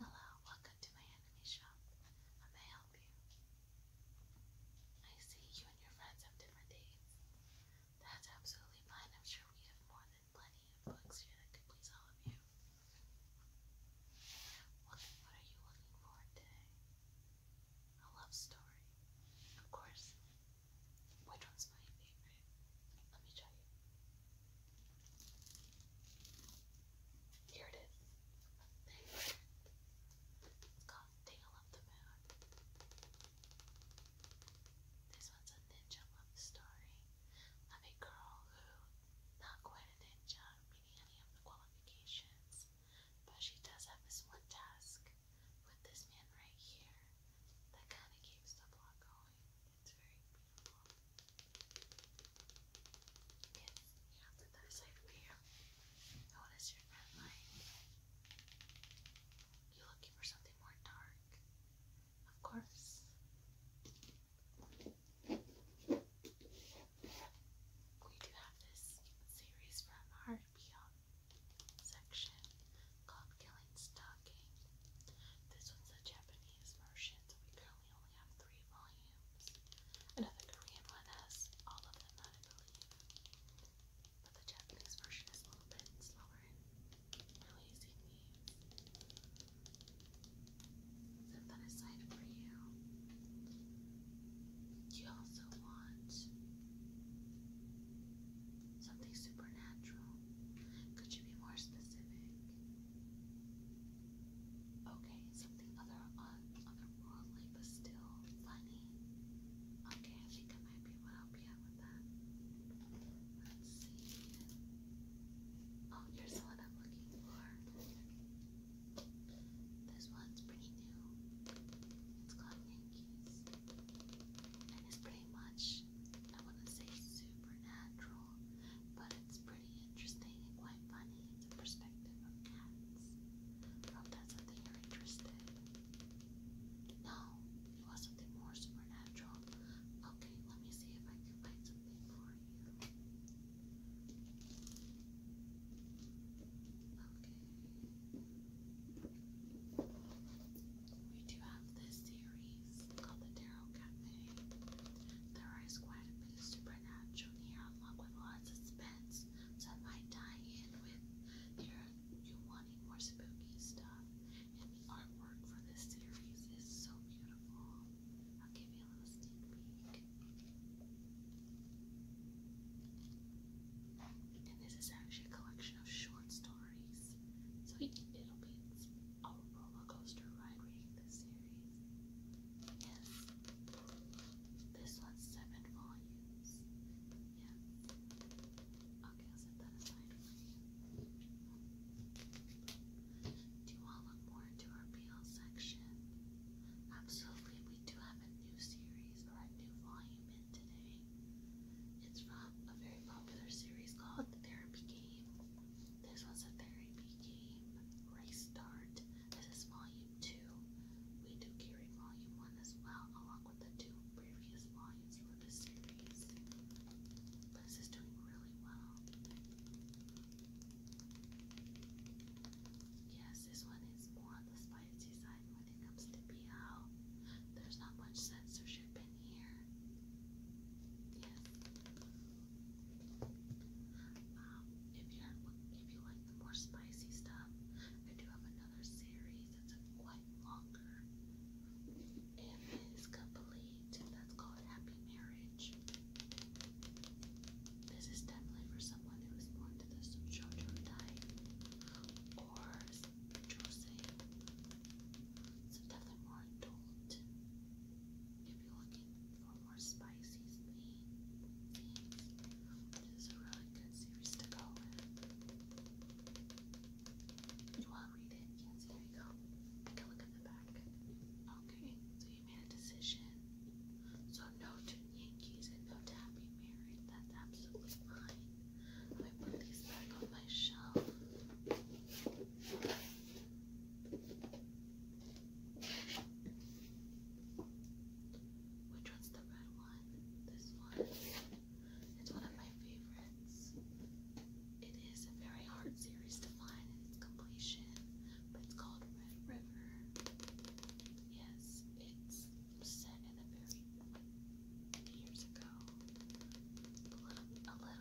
Hello, welcome to my anime shop. How may I help you? I see you and your friends have different dates. That's absolutely fine. I'm sure we have more than plenty of books here that could please all of you. what are you looking for today? A love story. Of course, which one's my favorite? Let me tell you. Here it is. It's called Tale of the Moon. This one's a ninja love story of a girl who, not quite a ninja, meaning any of the qualifications, but she does have this one task with this man right here that kind of keeps the plot going. It's very beautiful. Yes, on the What is your red light? You looking for something more dark? Of course. We do have this series from our Beyond section called Kill feeling stocking. This was the Japanese version, so we currently only have three volumes. Another Korean one has all of them, I believe. But the Japanese version is a little bit slower in releasing Set that aside for you. You also want something supernatural. Could you be more specific? Okay, something other on uh, otherworldly but still funny. Okay, I think I might be able to help you out with that. Let's see. Oh, here's the one I'm looking for. This one's pretty new. It's called Yankees. And it's pretty much I want to say supernatural, but it's pretty interesting and quite funny. It's a perspective of cats. hope that's something you're interested No, it was something more supernatural. Okay, let me see if I can find something for you. Okay we do have this series called the Tarot Cafe. There is quite a bit supernatural here, along with a of suspense, so I might tie in with your you wanting more spooky stuff. And the artwork for this series is so beautiful. I'll give you a little sneak peek. And this is actually a collection of short stories. So it, will be a roller coaster ride reading this series. Yes. This one's seven volumes. Yes. Okay, I'll set that aside Do you want to look more into our BL section? Absolutely, we do have a new series or a new volume in today. It's from a very popular series called The Therapy Game. This was a therapy game restart. This is volume two. We do carry volume one as well, along with the two previous volumes for the series. But this is doing really well. Yes, this one is more on the spicy side when it comes to BL. There's not much censorship if you like the more spicy stuff, I do have another series that's quite longer, and it is complete. That's called Happy Marriage. This is definitely for someone who is more into the shojo type or so definitely more adult. If you're looking for more spicy things, this is a really good series to go with. You want to read it? Yes, there you go. I can look at the back. Okay, so you made a decision. So no to Yankees and no to Happy Married. That's absolutely fine. Let me put these back on my shelf. Which one's the red one? This one. It's one of my favorites. It is a very hard series to find in its completion, but it's called Red River. Yes, it's set in the very years ago. A little,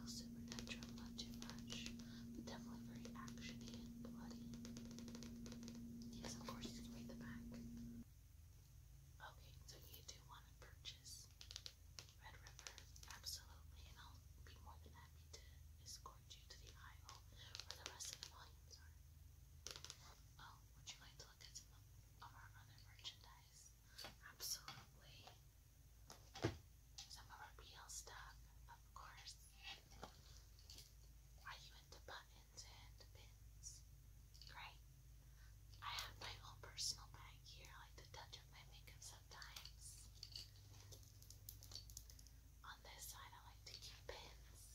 supernatural, not too much, but definitely very actiony and bloody. Yes, of course you can read the back. Okay, so you do want to purchase Red River, absolutely, and I'll be more than happy to escort you to the aisle where the rest of the volumes are. Oh, would you like to look at some of our other merchandise? Absolutely. Some of our BL stuff, of course. Are you into buttons and pins? Great. I have my own personal bag here. I like to touch up my makeup sometimes. On this side, I like to keep pins.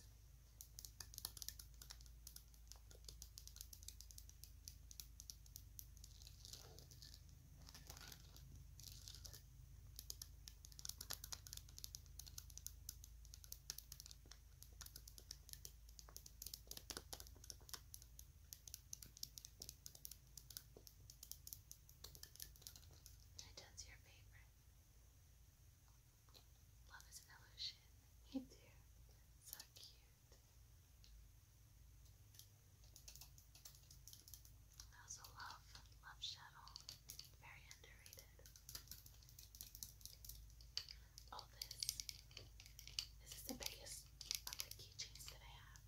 That's your favorite. Love is an illusion. You do. So cute. I also love Love Shadow. very underrated. Oh, this. This the biggest of the keychains that I have.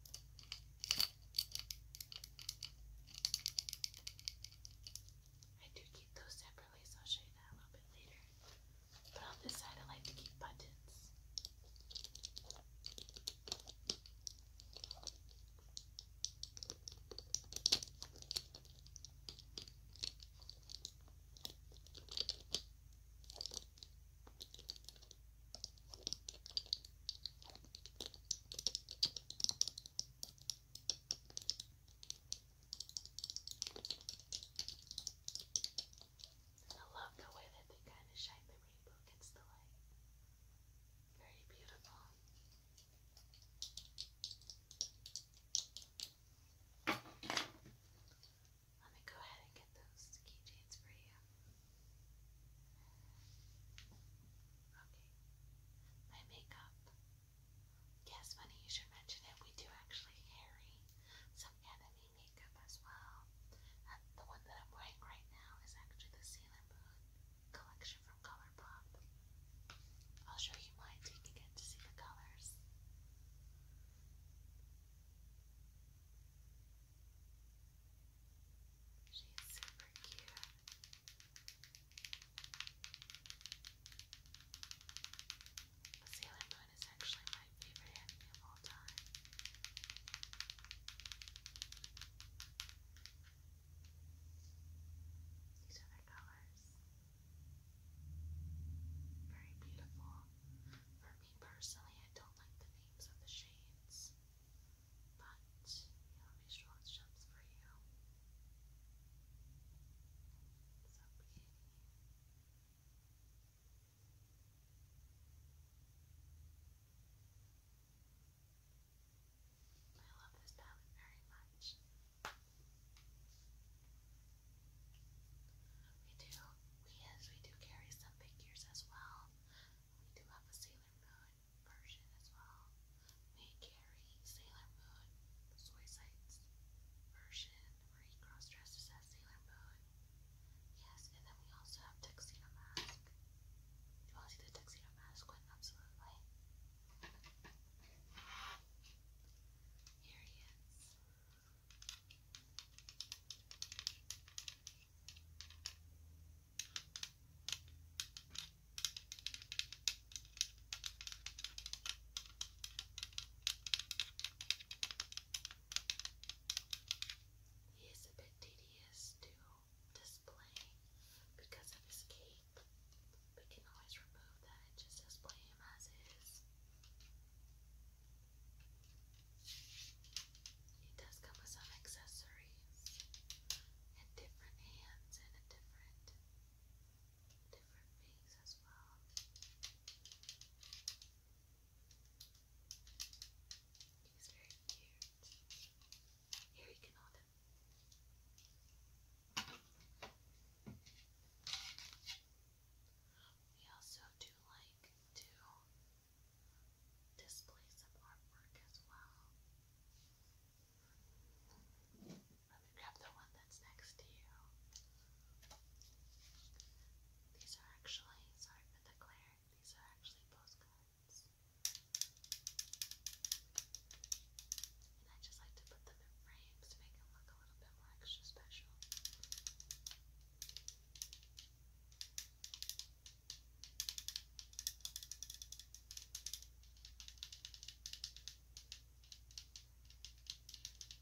I do keep those separately, so I'll show you that a little bit later. But on this side, I like to keep buttons. And I love the way that they kind of shine the rainbow gets the light. Very beautiful. Let me go ahead and get those keychains for you. Okay. My makeup. Yes, funny you should mention it. We do actually carry some some makeup as well. the one that I'm wearing right now is actually the Sailor Moon collection from Colourpop. I'll show you mine so you to see the colors. She's super cute. Sailor Moon is actually my favorite of all time. These are colors. Very beautiful. For me personally, I don't like the names of the shades, but you know, visual it for you. So pretty. Very I love this palette very much. We do, we yes, we do carry some figures as well. We do have a Sailor Moon version as well. We carry Sailor Moon Soy Sites version where he cross dresses as Sailor Moon. Yes, and then we also have Tuxedo Mask. Do you want to see the Tuxedo Mask one? Absolutely. Here he is. He he is a bit tedious to display because of his cape. We can always remove that and just display him as is. He does come with some accessories and different hands and a different different things as well. He's very cute. Here you can hold We also do like to display some artwork as well. Let me grab the one that's next to you. These are actually, sorry for the glare, these are actually postcards. And I just like to put them in frames to make them look a little bit more extra special.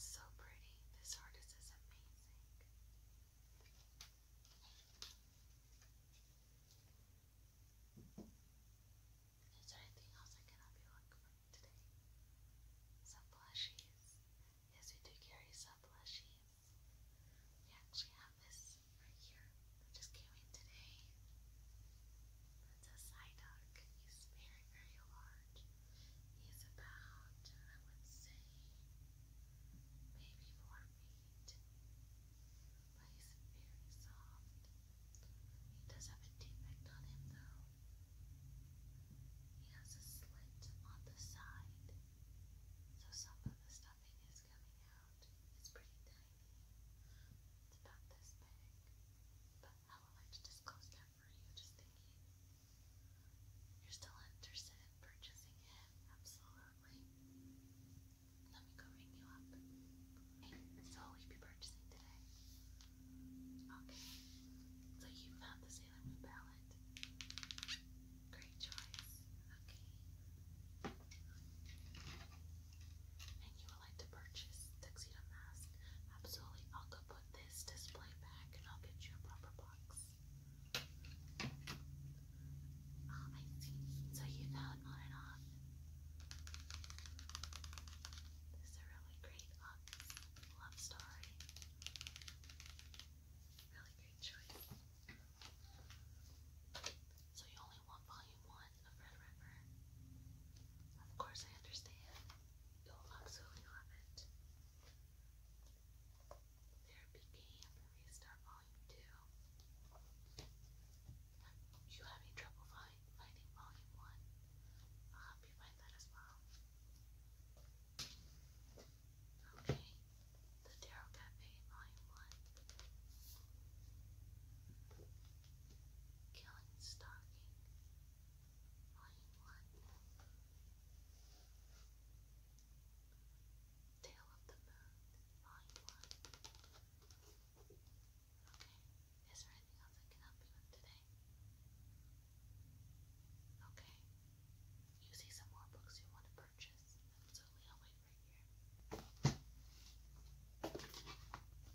It's so pretty. This artist is amazing. Is there anything else I can help you for today? Some plushies. Yes, we do carry some plushies. We actually have this right here just came in today. It's a Psyduck. He's very, very large. He's about, I would say, maybe four feet, but he's very soft. He does have a defect on him though. He has a slit on the side, so some of the stuffing is coming out. It's pretty tiny. It's about this big, but how am I to disclose that? for you. Just thinking, you're still interested in purchasing it? Absolutely. Let me go ring you up. Okay, so will be purchasing today? Okay. So you found the Sailor Moon palette. Great choice. Okay. And you would like to purchase Tuxedo Mask? Absolutely. I'll go put this display back and I'll get you a proper box. Oh, I see. So you know on and off. This is a really great um, love story. Really great choice. So you only want volume one of Red River? Of course I understand. You'll absolutely love it. Therapy Game Restart Volume 2. you having trouble find, finding Volume 1, I'll help you find that as well. Okay, The Tarot Cafe Volume 1. Killing Stalking. Volume of the Moon, Okay, is there anything else I can help you with today? Okay. You see some more books you want to purchase, absolutely I'll wait right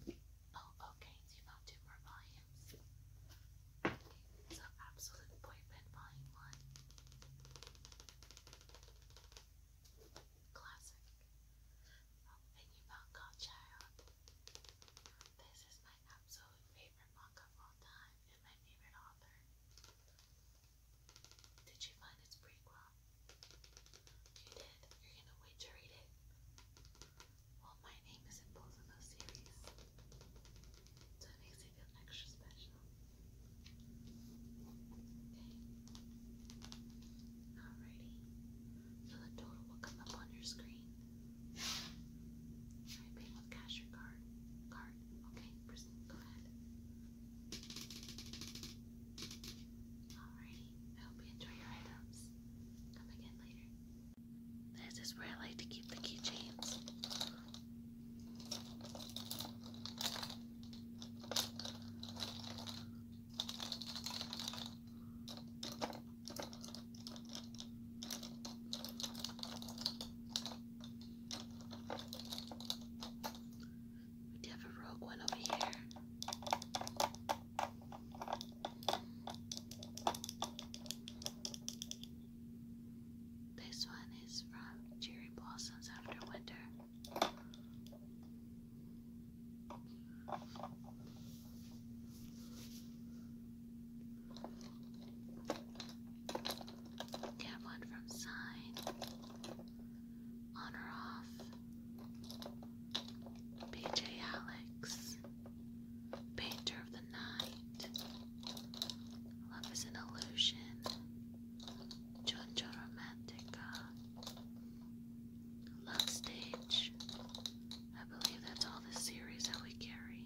here. Oh, okay, so you found two more volumes. so Absolute Boyfriend Volume 1. Classic. Oh, and you found Godchild. This is my absolute favorite book of all time and my favorite author. Did you find its prequel? You did. You're gonna wait to read it. Well, my name is in those series, so it makes me feel extra special. Okay. Alrighty. So the total will come up on your screen. Alright, pay with cash or card. Card. Okay, go ahead. Alrighty. I hope you enjoy your items. Come again later. This is where I like to keep the keychains. We have a rogue one over here. This one is from Cherry Blossoms After Winter. Get one from Sign. On or off. BJ Alex. Painter of the night. Love is an illusion. Jojo Romantica. Love Stage. I believe that's all the series that we carry.